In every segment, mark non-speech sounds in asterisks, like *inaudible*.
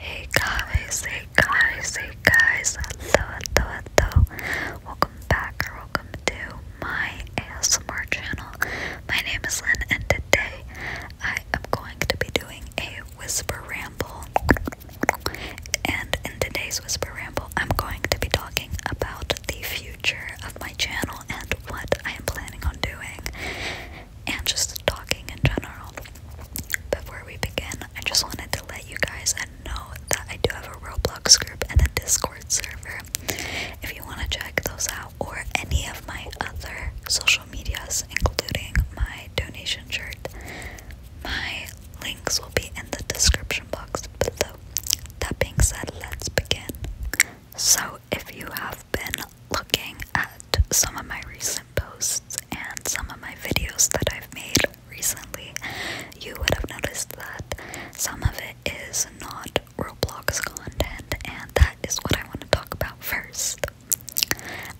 Hey guys, hey guys, hey guys, hello, hello, hello. Welcome back or welcome to my ASMR channel. My name is Lynn and today I am going to be doing a whisper ramble. And in today's whisper ramble, I'm going to be talking about the future of my channel and what I am planning on doing and just talking in general. Before we begin, I just wanted to let you guys know that I do have a Roblox group and a Discord server. If you want to check those out or any of my other social medias, including my donation shirt, my links will be in the description box below. That being said, let's begin. So, if you have been looking at some of my recent posts and some of my videos that I've made recently, you would have noticed that some of it is not Roblox content, and that is what I want to talk about first.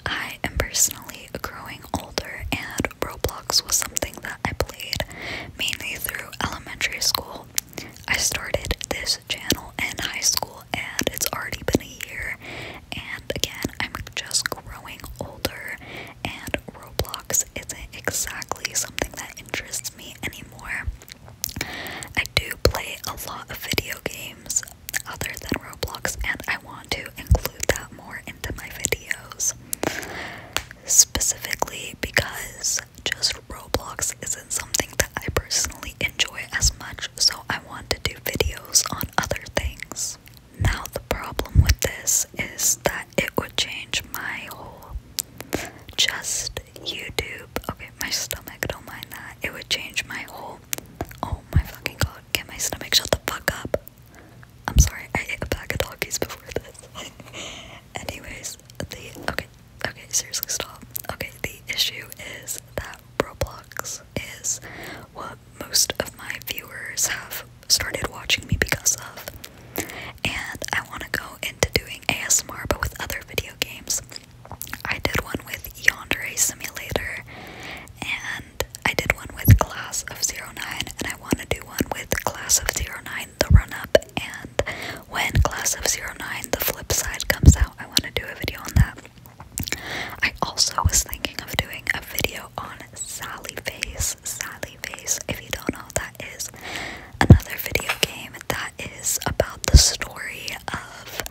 I am personally growing older, and Roblox was something that I played mainly through elementary school. I started this channel and high school, and it's already been a year. And again, I'm just growing older, and Roblox isn't exactly something that interests me anymore. I do play a lot of video games other than Roblox, and I want to include that more into my videos. Specifically because just Roblox isn't something that I personally enjoy as much, so I want to do videos on other things. Now, the problem with this is that it would change my whole just YouTube. Okay, my stomach, don't mind that. It would change my whole. Oh my fucking god, get my stomach, shut the fuck up. I'm sorry, I ate a pack of doggies before this. *laughs* Anyways, the. Okay, okay, seriously, stop. Okay, the issue is that Roblox is what most of my viewers have started watching me because of. And I want to go into doing ASMR but with other video games. I did one with a Simulator, and I did one with Class of 09, and I want to do one with Class of 09, the run up, and when Class of 09, the flip side comes out, I want to do a video on that. I also was thinking of doing a video on Sally Face. Sally Face, if you don't know, that is another video game that is about the story of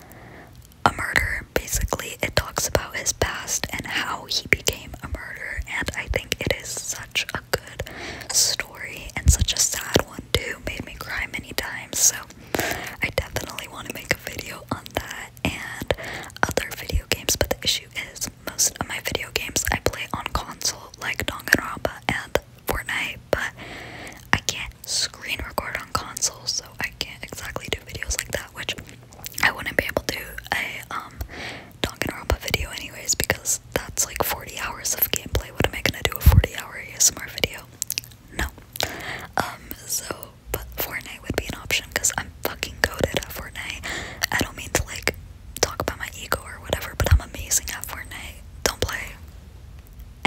a murder. Basically, it talks about his past and how he became a murderer, and I think it is such a good story and such a sad one, too. Made me cry many times, so I definitely want to make a video on that and other video games, but the issue is most of my video games I play on console, like Danganronpa and Fortnite, but I can't screen record on console, so I can't exactly do videos like that, which I wouldn't be able to do a um, Danganronpa video anyways, because that's like 40 hours of gameplay. What am I gonna do a 40 hour ASMR video? no. Um, so, but Fortnite would be an option because I'm fucking goaded at Fortnite. I don't mean to like talk about my ego or whatever, but I'm amazing at Fortnite. Don't play.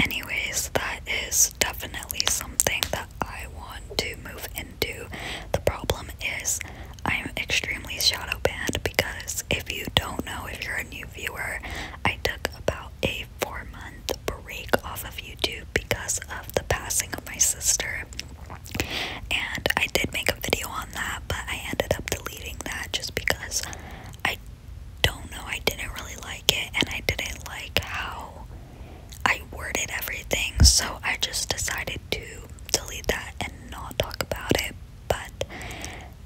Anyways, that is definitely something that I want to move into. The problem is, I'm extremely shadow banned because if you don't know, if you're a new viewer, I took about a four month break off of YouTube because of the passing of my sister. And I did make a video on that, but I ended up deleting that just because I don't know, I didn't really like it and I didn't like how I worded everything, so I just decided to delete that and not talk about it. But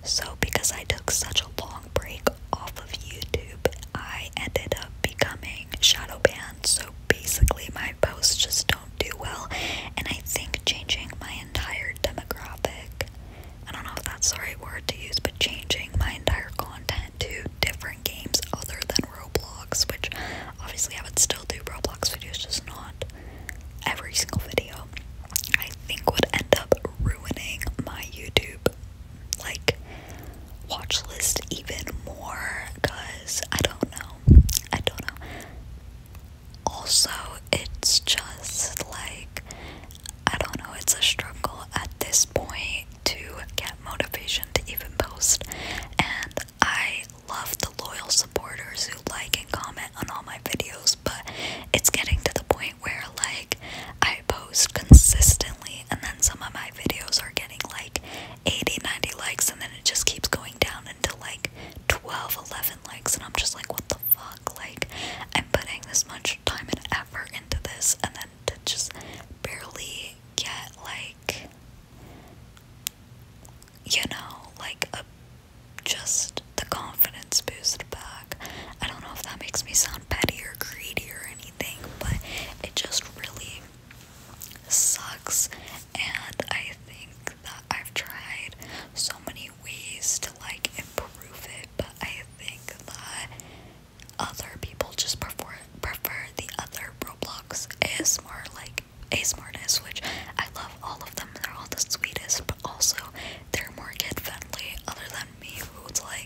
so, because I took such a long break off of YouTube, I ended up becoming wearing shadow bands, so basically my posts just don't do well. And I think changing my entire demographic I don't know if that's the right word to use, but changing my entire content to different games other than Roblox, which obviously I would still do Roblox videos, just not every single video. I think would end up ruining my YouTube like watch list even more because I don't know. I don't Also, it's just like I don't know, it's a struggle at this point to get motivation to even post. And I love the loyal supporters who like and comment on all my videos, but it's getting to the point where like I post consistently and then some of my videos are getting like 80, 90 likes, and then it just keeps going down until like 12, 11 likes, and I'm just like, what the fuck? Like, I'm putting this much time and effort into this, and then to just barely get like, you know, like a just the confidence boost back. I don't know if that makes me sound petty or greedy or anything, but it just really sucks and I think that I've tried so many ways to like improve it but I think that other people just prefer prefer the other Roblox more like ASMRness which I love all of them they're all the sweetest but also they're more kid friendly other than me who's like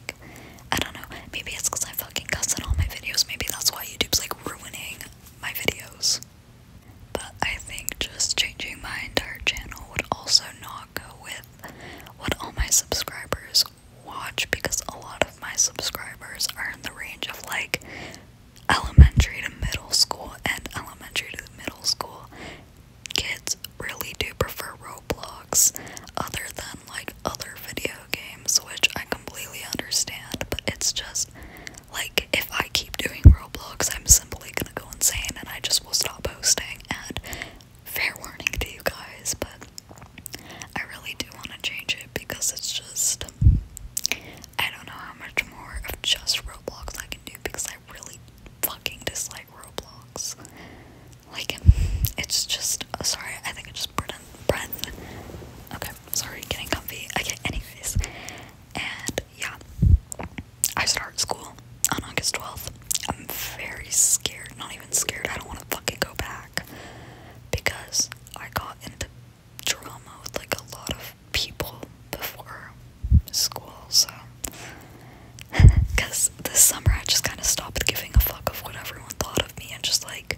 I don't know, maybe it's because I fucking cuss in all my videos, maybe that's why YouTube's like ruining my videos. But I think just changing my entire channel would also not go with what all my subscribers watch because a lot of my subscribers are in the range of like elementary to middle school, and elementary to middle school kids really do prefer Roblox other than like other videos games, which I completely understand, but it's just like if I keep doing Roblox, I'm simply gonna go insane and I just will stop posting. And fair warning to you guys, but I really do want to change it because it's just I don't know how much more of just Roblox I can do because I really fucking dislike Roblox. Like, it's just just oh, sorry, I think I just put in breath. Okay, sorry, getting comfy. Okay, anyways. And yeah. I start school on August 12th. I'm very scared. Not even scared. I don't want to fucking go back. Because I got into drama with like a lot of people before school, so because *laughs* this summer I just kind of stopped giving a fuck of what everyone thought of me and just like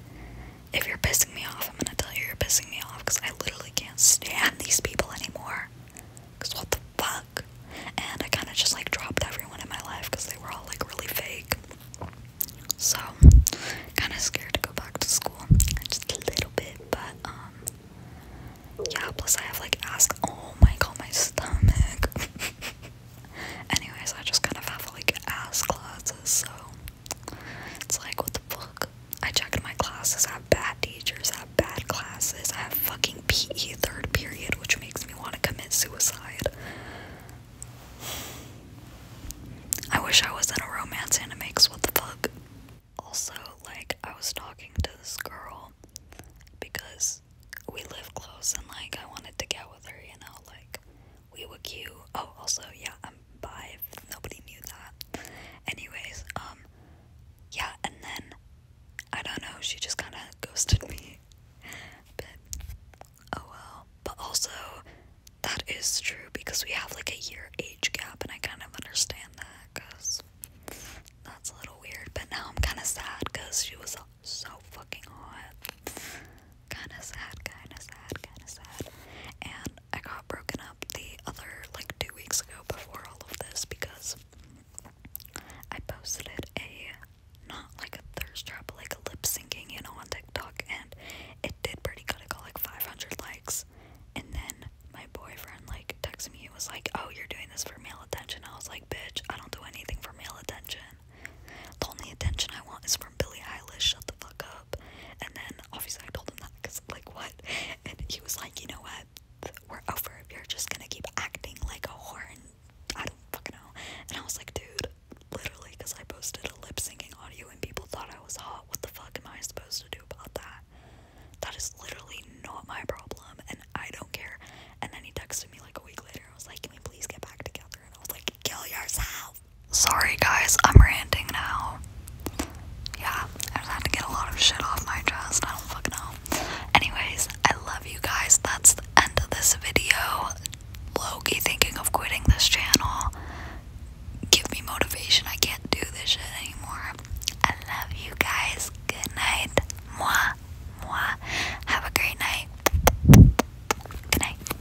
if you're pissing me off, I'm gonna tell you you're pissing me off because I literally can't stand these people anymore. Because what the fuck? And I kind of just like dropped everyone in my life because they were all like really fake. So, kind of scared to go back to school. Just a little bit, but um, yeah, plus I have like ask. Oh my god, my stomach. *laughs* Anyways, I just kind of have like ass classes, so it's like, what the fuck? I checked my classes. I have bad teachers. I have bad classes. I have fucking PE third period, which makes me want to commit suicide. I wish I was in a romance animix. What the fuck? Also, like, I was talking to this girl because we live close and, like, I wanted to get with her, you know? Like, we were cute. Oh, also, yeah, I'm five. nobody knew that. Anyways, um, yeah, and then I don't know. She just kind of ghosted me. But oh well. But also, that is true because we have like a year age gap, and I kind of understand that because that's a little weird. But now I'm kind of sad because she was so fucking hot kinda sad, kinda sad, kinda sad. And I got broken up the other like two weeks ago before all of this because I posted a not like a thirst trap, but like a lip syncing, you know, on TikTok and it did pretty good. I got like 500 likes. And then my boyfriend like texted me. He was like, "Oh, you're doing this for male attention." I was like, "Bitch, I don't do anything for male attention." The only attention I want is from Billie Eilish, shut the fuck up. And then obviously I told him that because, like, what? And he was like, you know what? We're over if you're just gonna keep acting like a whore and I don't fucking know. And I was like, dude, literally, because I posted a lip syncing audio and people thought I was hot. What the fuck am I supposed to do about that? That is literally not my problem and I don't care. And then he texted me like a week later. I was like, can we please get back together? And I was like, Sorry guys, I'm ranting now. Yeah, I just had to get a lot of shit off my chest. I don't fucking know. Anyways, I love you guys. That's the end of this video. Loki thinking of quitting this channel. Give me motivation. I can't do this shit anymore. I love you guys. Good night. Mwah. Mwah. Have a great night. Good night.